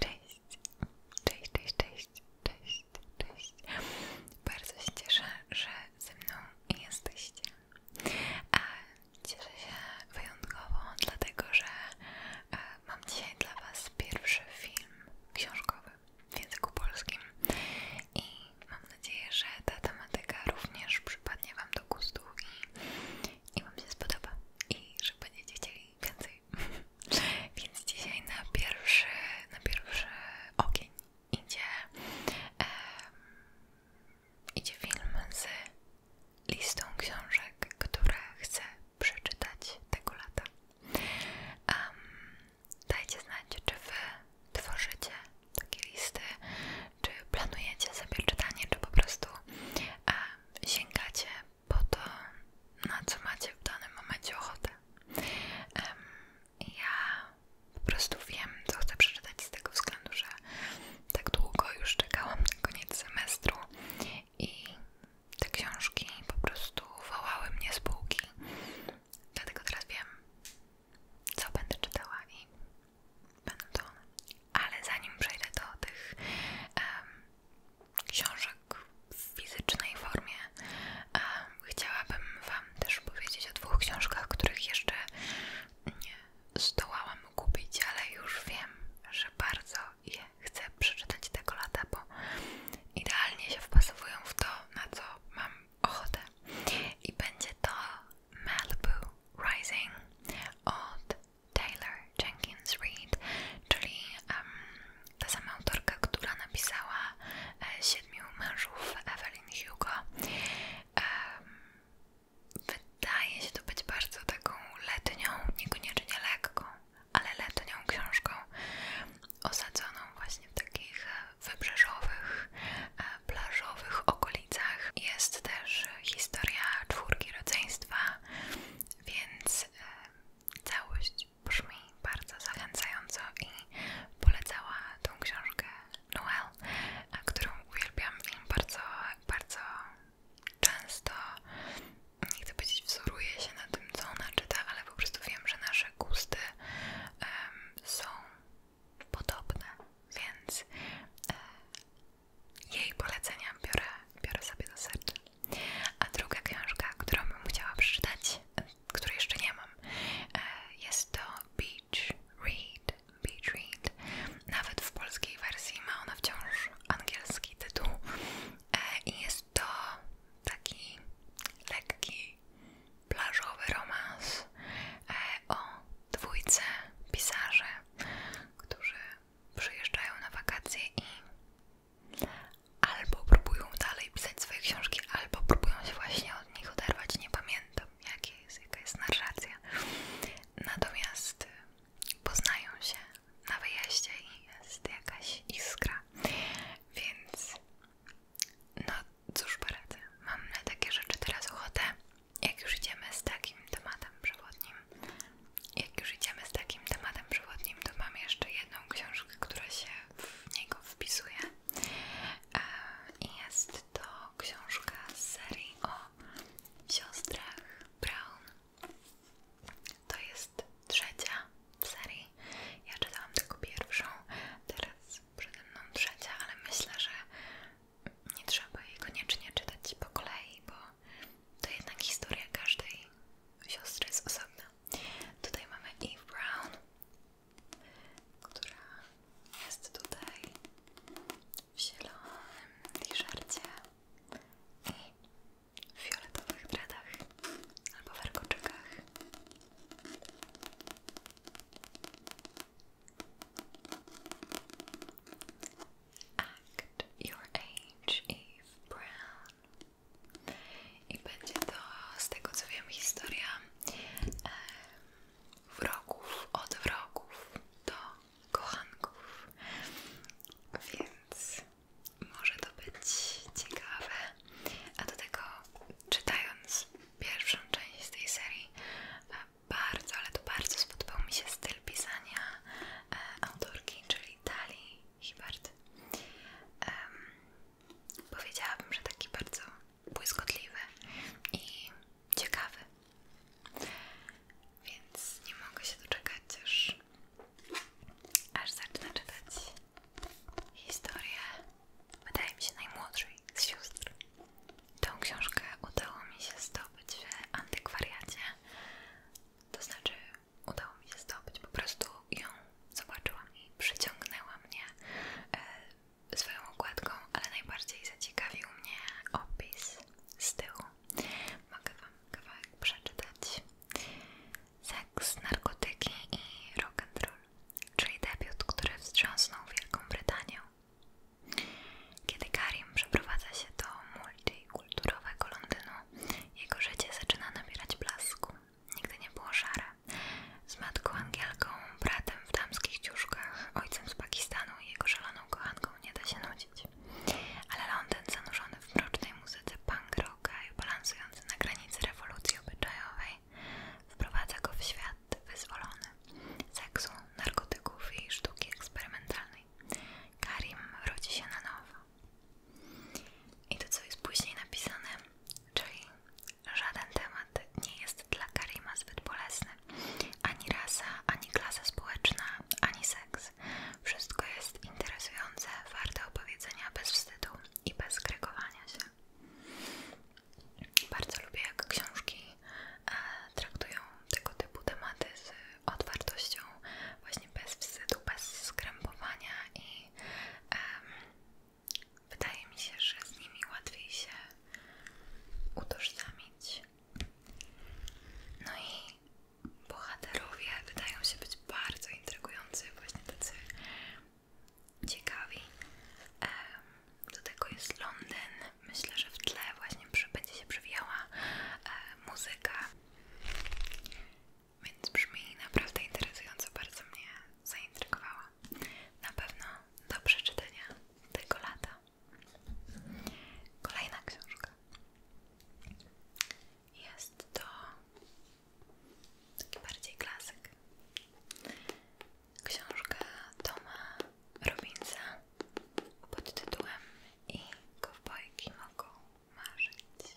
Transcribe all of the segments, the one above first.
Cześć, cześć, cześć, cześć, cześć, cześć. Bardzo się cieszę, że ze mną jesteście. A cieszę się wyjątkowo, dlatego że e, mam dzisiaj dla Was pierwszy film książkowy w języku polskim i mam nadzieję, że ta tematyka również przypadnie Wam do gustu i, i Wam się spodoba i że będziecie chcieli więcej Więc dzisiaj na pierwszy, na pierwszy ogień idzie, idzie film z listą książek, które chcę przeczytać tego lata. dajcie znać, czy wy tworzycie takie listy, czy planujecie sobie czytanie, czy po prostu e, sięgacie po to, na co macie w danym momencie ochotę. ja po prostu wiem, co chcę przeczytać z tego względu, że tak długo już czekałam na koniec semestru i te książki po prostu wołały mnie z półki. Dlatego teraz wiem, co będę czytała i będą to one. Ale zanim przejdę do tych um, książek w fizycznej formie. Chciałabym Wam też powiedzieć o dwóch książkach, których jeszcze nie zdołałam kupić, ale już wiem, że bardzo je chcę przeczytać tego lata, bo idealnie się wpasowują w to, na co mam ochotę. I będzie to Malibu Rising od Taylor Jenkins Reid, czyli ta sama autorka, która napisała e, Siedmiu mężów Evelyn Hugo. wydaje się to być bardzo taką letnią, niekoniecznie lekką, ale letnią książką osadzoną właśnie w takich wybrzeżowych, e, plażowych okolicach. Jest też historia czwórki rodzeństwa, więc Całość brzmi bardzo zachęcająco i polecała tą książkę Noel, którą uwielbiam i bardzo, bardzo często, nie chcę powiedzieć wzoruje się na tym, co ona czyta, ale po prostu wiem, że nasze gusty są podobne, więc e, jej polecenia biorę, biorę sobie do serca. A druga książka, którą bym chciała przeczytać, której jeszcze nie mam, e, jest to Beach Read. Beach Read. Nawet w polskiej wersji ma ona wciąż angielski tytuł. E, I jest to taki lekki, plażowy romans e, o dwójce pisarzy, którzy przyjeżdżają na wakacje i albo próbują dalej pisać swoje książki, albo próbują się właśnie od nich oderwać. Nie pamiętam, jakie jest, jaka jest narracja. Natomiast y, poznają się na wyjeździe i jest jakaś iskra. Więc no cóż poradzę, mam na takie rzeczy teraz ochotę, jak już idziemy z takim tematem przewodnim jak już idziemy z takim tematem przewodnim, to mam jeszcze jedną książkę, która się w niego wpisuje. E, jest to książka z serii o siostrach Brown. To jest trzecia w serii. Ja czytałam tylko pierwszą, teraz przede mną trzecia, ale myślę, że nie trzeba jej koniecznie czytać po kolei, bo to jednak historia każdej siostry jest osobna. Tutaj mamy Eve Brown, która jest tutaj w zielonym t-shircie i w fioletowych dreadach albo warkoczykach. Act Your Age Eve Brown i będzie to z tego co wiem historia e, wrogów od wrogów do kochanków więc może to być ciekawe a do tego czytając pierwszą część z tej serii bardzo, ale to bardzo spodobał mi się styl pisania e, autorki, czyli Dali Hibbert. Um, powiedziałabym, że taki bardzo błyskotliwy i ciekawy. Więc nie mogę się doczekać, aż, aż zacznę czytać historię, wydaje mi się, najmłodszej z sióstr. Tą książkę udało mi się zdobyć w antykwariacie, to znaczy udało mi się zdobyć. Po prostu ją zobaczyłam i przyciągnęła mnie e, swoją okładką, ale najbardziej zaciekawił mnie opis z tyłu. Mogę Wam kawałek przeczytać. Seks, narkotyki i rock'n'roll, czyli debiut, który wstrząsnął Wielką Brytanię. Kiedy Karim przeprowadza się do multikulturowego Londynu, jego życie zaczyna nabierać blasku. Nigdy nie było szare. Z matką Angielką, bratem w damskich ciuszkach, ojcem z Pakistanu i jego szaloną kochanką nie da się nudzić. Ale Londyn zanurzony w mrocznej muzyce punk rocka i balansujący na granicy rewolucji obyczajowej wprowadza go w świat wyzwolony seksu, narkotyków i sztuki eksperymentalnej. Karim rodzi się na nowo. I to, co jest później napisane, czyli żaden temat nie jest dla Karima zbyt bolesny. Ani rasa, ani klasa społeczna, ani seks. Wszystko jest interesujące, warte opowiedzenia bez wstydu i bez kregowania się. Bardzo lubię, jak książki e, traktują tego typu tematy otwartością, właśnie bez wstydu, bez skrępowania i wydaje mi się, że z nimi łatwiej się utożsamić. No i bohaterowie wydają się być bardzo intrygujący, właśnie tacy ciekawi. do tego jest Londyn. Myślę, że w tle właśnie przy, będzie się przewijała e, muzyka więc brzmi naprawdę interesująco, bardzo mnie zaintrygowała. Na pewno do przeczytania tego lata. Kolejna książka. Jest to taki bardziej klasyk. Książka Toma Robinsa pod tytułem I kowbojki mogą marzyć.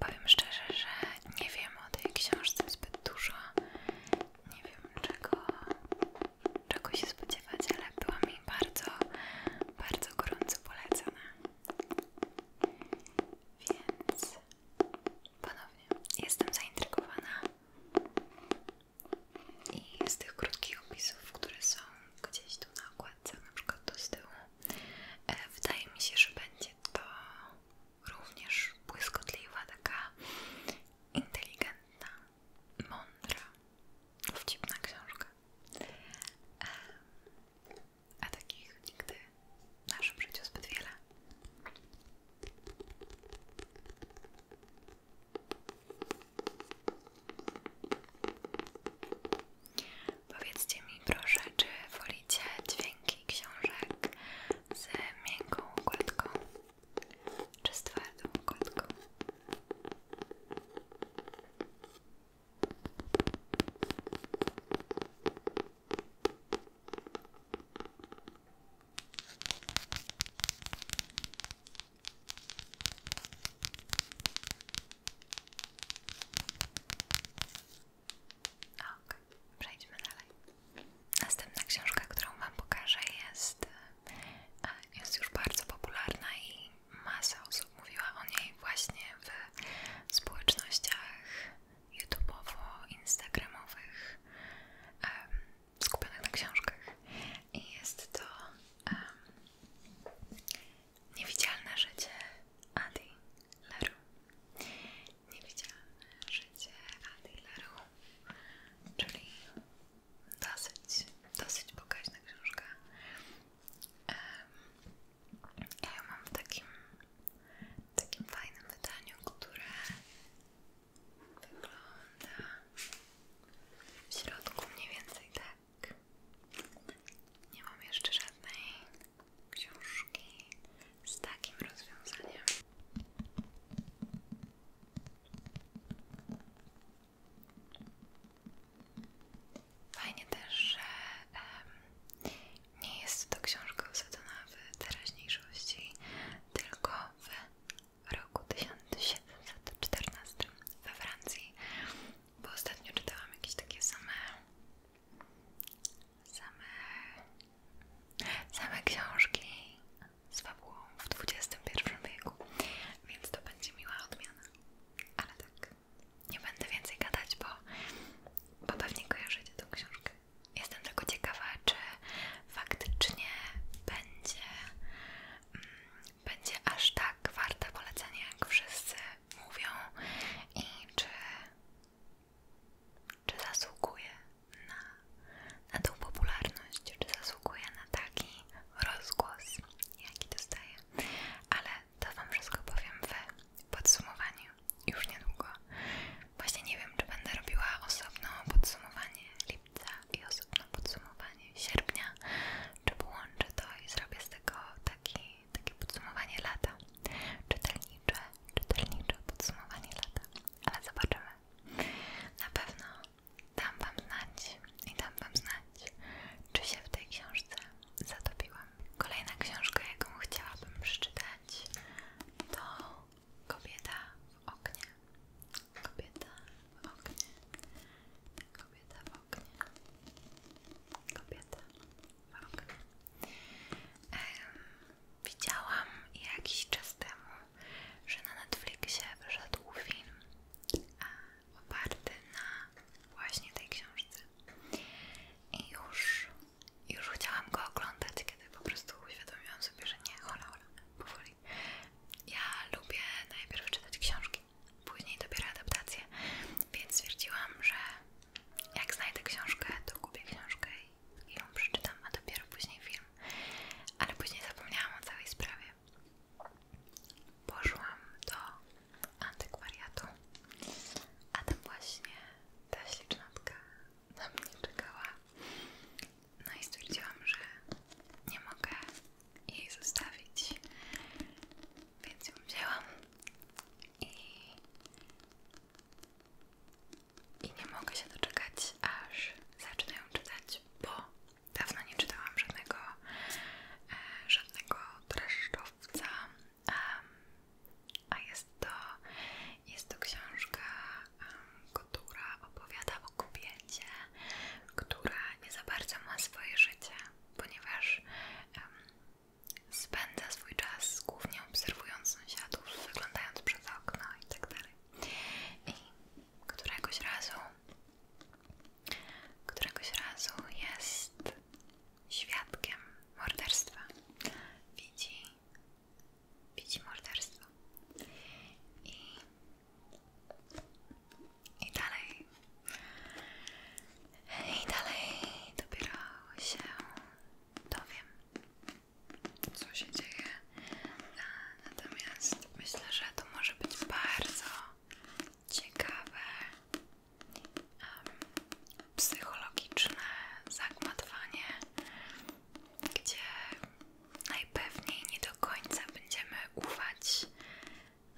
Powiem szczerze, że nie wiem o tej książce zbyt dużo. Nie wiem czego, czego się spodziewać, ale była mi bardzo, bardzo gorąco polecana. Więc ponownie jestem zaintrygowana i z tych krótkich opisów, które są gdzieś tu na okładce, na przykład tu z tyłu, e, wydaje mi się, że będzie to również błyskotliwa, taka inteligentna, mądra, wcipna książka. E, a takich nigdy w naszym życiu zbyt wiele. Powiedzcie mi proszę, czy wolicie dźwięki książek z miękką układką czy z twardą układką? Ok, przejdźmy dalej. Następna książka, którą Wam pokażę, jest, e, jest już bardzo popularna i masa osób mówiła o niej właśnie w społecznościach YouTube'owo-instagramowych skupionych na książkach i jest to Niewidzialne życie Adi Leru Niewidzialne życie Adi Leru czyli dosyć, dosyć bogaźna książka um, ja mam w takim, takim fajnym wydaniu, które wygląda w środku mniej więcej tak. Nie mam jeszcze żadnej książki z takim rozwiązaniem. Fajnie też, że nie jest to książka osadzona w teraźniejszości, tylko w roku 1714 we Francji, bo ostatnio czytałam jakieś takie same same, same książki z fabułą w XXI wieku, więc to będzie miła odmiana, ale tak nie będę więcej gadać, bo, bo pewnie kojarzycie tą książkę. Jestem tylko ciekawa, czy faktycznie będzie, mm, będzie aż tak warta polecenia, jak wszyscy mówią i czy, czy zasługuje na, na tą popularność, czy zasługuje na taki rozgłos, jaki dostaje. Ale to Wam wszystko powiem w podsumowaniu już niedługo. Właśnie nie wiem, czy będę robiła osobno podsumowanie lipca i osobno podsumowanie sierpnia, czy połączę to i zrobię z tego taki, takie podsumowanie lata. Czytelnicze, czytelnicze podsumowanie lata, ale zobaczymy. Na pewno dam Wam znać i dam Wam znać, czy się w tej książce zatopiłam. Kolejna książka, jaką chciałabym przeczytać, to Kobieta w oknie. Kobieta w oknie. Kobieta w oknie. Kobieta w oknie. widziałam jakiś czas temu, że na Netflixie wyszedł film e, oparty na właśnie tej książce i już, już chciałam go oglądać, kiedy po prostu uświadomiłam sobie, że nie, hola, hola, powoli. Ja lubię najpierw czytać książki, później dopiero adaptacje, więc stwierdziłam, że jak znajdę książkę, to kupię książkę i ją przeczytam, a dopiero później film. Ale później zapomniałam o całej sprawie. Poszłam do antykwariatu. A tam właśnie ta ślicznotka na mnie czekała. No i stwierdziłam, że nie mogę jej zostawić, więc ją wzięłam i, nie mogę się doczekać, aż zacznę ją czytać, bo dawno nie czytałam żadnego, e, żadnego dreszczowca, a jest to, jest to książka, która opowiada o kobiecie, która nie za bardzo ma swoje życie, ponieważ spędza swój czas głównie obserwując sąsiadów, wyglądając przez okno itd. Tak I któregoś razu, któregoś razu jest świadkiem morderstwa. Widzi, widzi morderstwo. I, I dalej, i dalej dopiero się dowiem, co się dzieje. Natomiast myślę, że to może być bardzo ciekawe psychologiczne zagmatwanie, gdzie najpewniej nie do końca będziemy ufać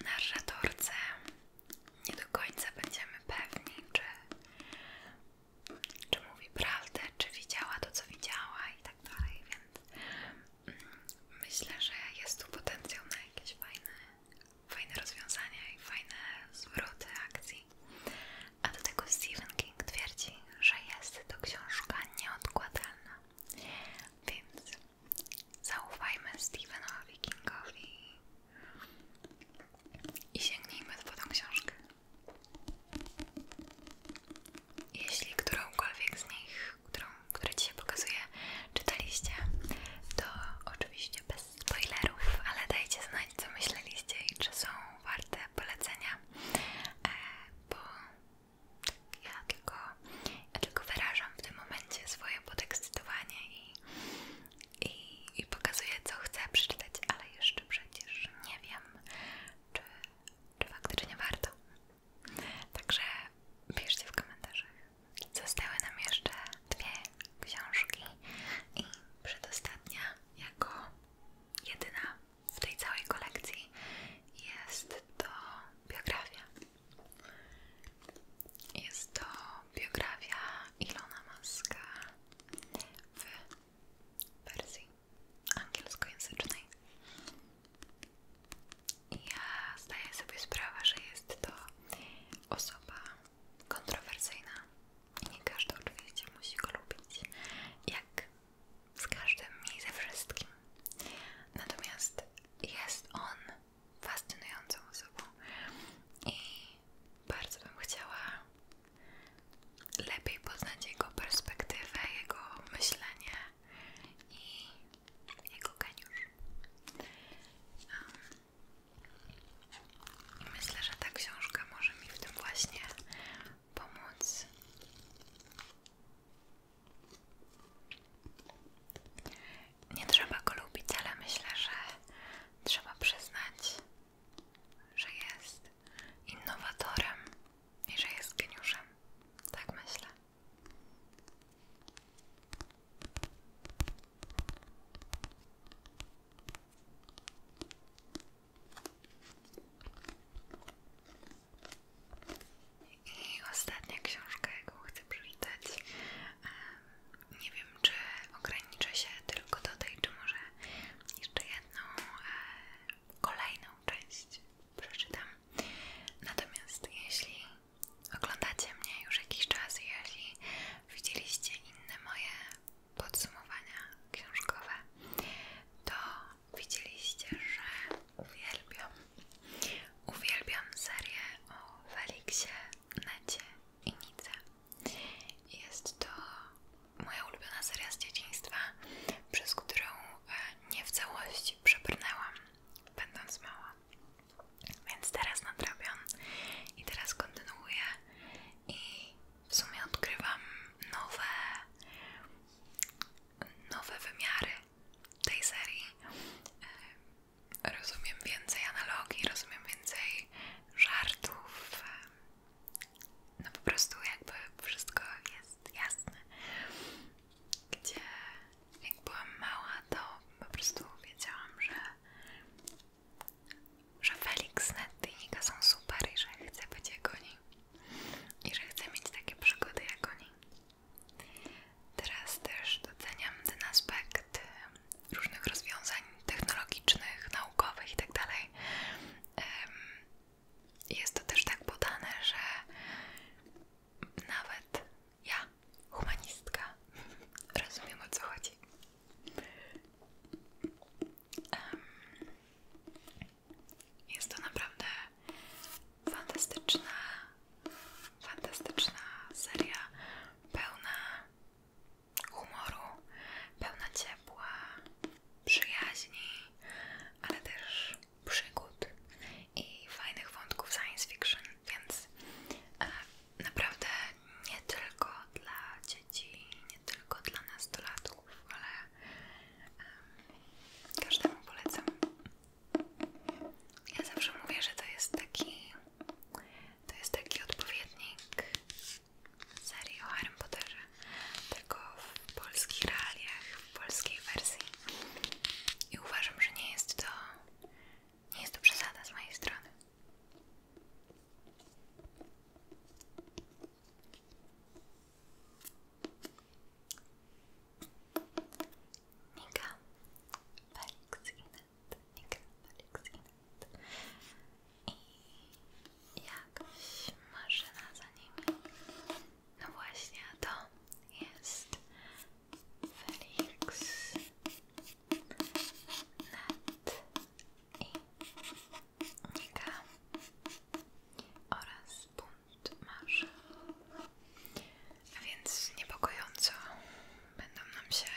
narratorce, nie do końca będziemy pewni, czy, czy mówi prawdę, czy widziała to, co widziała i tak dalej, więc myślę, że jest tu potencjał na jakieś fajne fajne rozwiązania i fajne zwroty akcji. A do tego Stephen King twierdzi, że jest to książka nieodkładalna. Więc zaufajmy Stephenowi Kingowi i sięgnijmy po tą książkę. Jeśli którąkolwiek z nich, którą, które dzisiaj pokazuję, czytaliście, to oczywiście bez spoilerów, ale dajcie znać co myśleliście i czy są warte polecenia, e, bo ja, tylko, ja tylko wyrażam w tym momencie swoje podekscytowanie i, i, i pokazuję co chcę przeczytać, ale jeszcze przecież nie wiem czy, czy faktycznie warto. Także piszcie w komentarzach Zostały nam jeszcze dwie książki i przedostatnia jako jedyna w tej całej kolekcji jest to biografia. Jest to biografia Ilona Maska w wersji angielskojęzycznej. Ja zdaję sobie sprawę, że jest to osoba kontrowersyjna i nie każdy oczywiście musi go lubić, jak z każdym i ze wszystkim. Natomiast jest on fascynującą osobą i bardzo bym chciała lepiej poznać jego perspektywę, jego myślenie i jego geniusz. I myślę, że ta książka może mi w tym właśnie pomóc. Nie trzeba go lubić, ale myślę, że trzeba przyznać, że jest innowatorem i że jest geniuszem. Tak myślę. I ostatnia książka, jaką chcę przeczytać. Nie wiem, czy ograniczę się tylko do tej, czy może jeszcze jedną, e, kolejną część przeczytam. Natomiast jeśli oglądacie mnie już jakiś czas i widzieliście inne moje podsumowania książkowe, to widzieliście, że uwielbiam, uwielbiam serię o Feliksie, Necie i Nice. Jest to moja ulubiona seria z dzieciństwa, przez którą e, nie w całości przebrnęłam, będąc mała. Więc teraz nadrabiam i teraz kontynuuję i w sumie odkrywam nowe nowe wymiary tej serii. E, rozumiem więcej analogii, rozumiem więcej żartów. E, no po prostu jakby wszystko jest jasne. Gdzie jak byłam mała, to po prostu wiedziałam, że że Felix Netty i Nika są super i że chcę być jak oni i że chcę mieć takie przygody jak oni. Teraz też doceniam ten aspekt różnych rozwiązań technologicznych, naukowych itd. Tak jest to też tak podane, że nawet ja, humanistka, rozumiem o co chodzi. jest to naprawdę fantastyczna, fantastyczna seria, pełna humoru, pełna ciepła, przyjaźni, ale też przygód i fajnych wątków science fiction. Więc e, naprawdę nie tylko dla dzieci, nie tylko dla nastolatków, ale każdemu polecam. Ja zawsze mówię, że to jest taki to jest taki odpowiednik serii o Harrym Potterze, tylko w polskich realiach, w polskiej wersji. I uważam, że nie jest to nie jest to przesada z mojej strony. Nika, Felix Inet, Felix i jakaś maszyna za nimi. No właśnie, to jest Felix nad, i Nika oraz bunt marzy. A więc niepokojąco będą nam się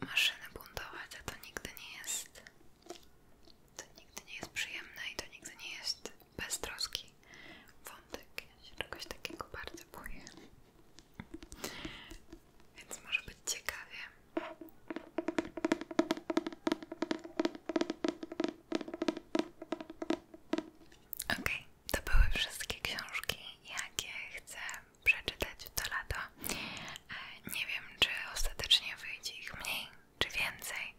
maszyny buntować, a to nigdy nie jest to nigdy nie jest przyjemne i to nigdy nie jest bez troski wątek. Ja się czegoś takiego bardzo boję. Więc może być ciekawie. Okej, okay, to były wszystkie książki, jakie chcę przeczytać w to lato. E, nie wiem, czy ostatecznie wyjdzie ich mniej, czy więcej.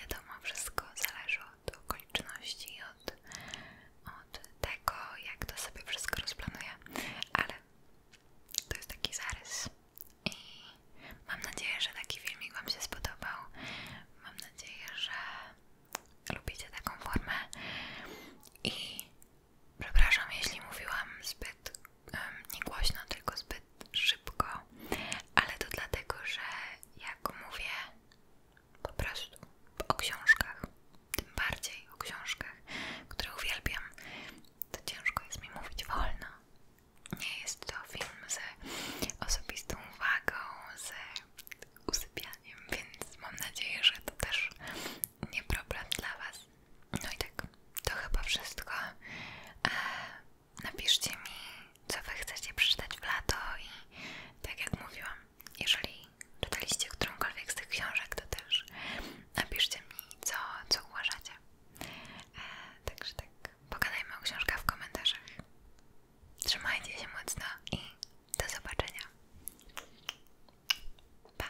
Wiadomo, wszystko zależy od okoliczności i od od tego, jak to sobie wszystko rozplanuję, ale to jest taki zarys i mam nadzieję, że taki filmik Wam się spodobał. Mam nadzieję, że lubicie taką formę i przepraszam, jeśli mówiłam zbyt um, nie głośno, tylko zbyt szybko, ale to dlatego, że jak mówię po prostu o książkach, tym bardziej o książkach, które uwielbiam, to ciężko jest mi mówić wolno. Nie jest to film z osobistą uwagą, z usypianiem, więc mam nadzieję, że to też nie problem dla Was. No i tak, to chyba wszystko. E, napiszcie mi, co Wy chcecie przeczytać w lato i tak jak mówiłam, jeżeli czytaliście którąkolwiek z tych książek, to też napiszcie mi, co, co uważacie. E, także tak, pogadajmy o książkach w komentarzach. Trzymajcie się mocno i do zobaczenia. Pa!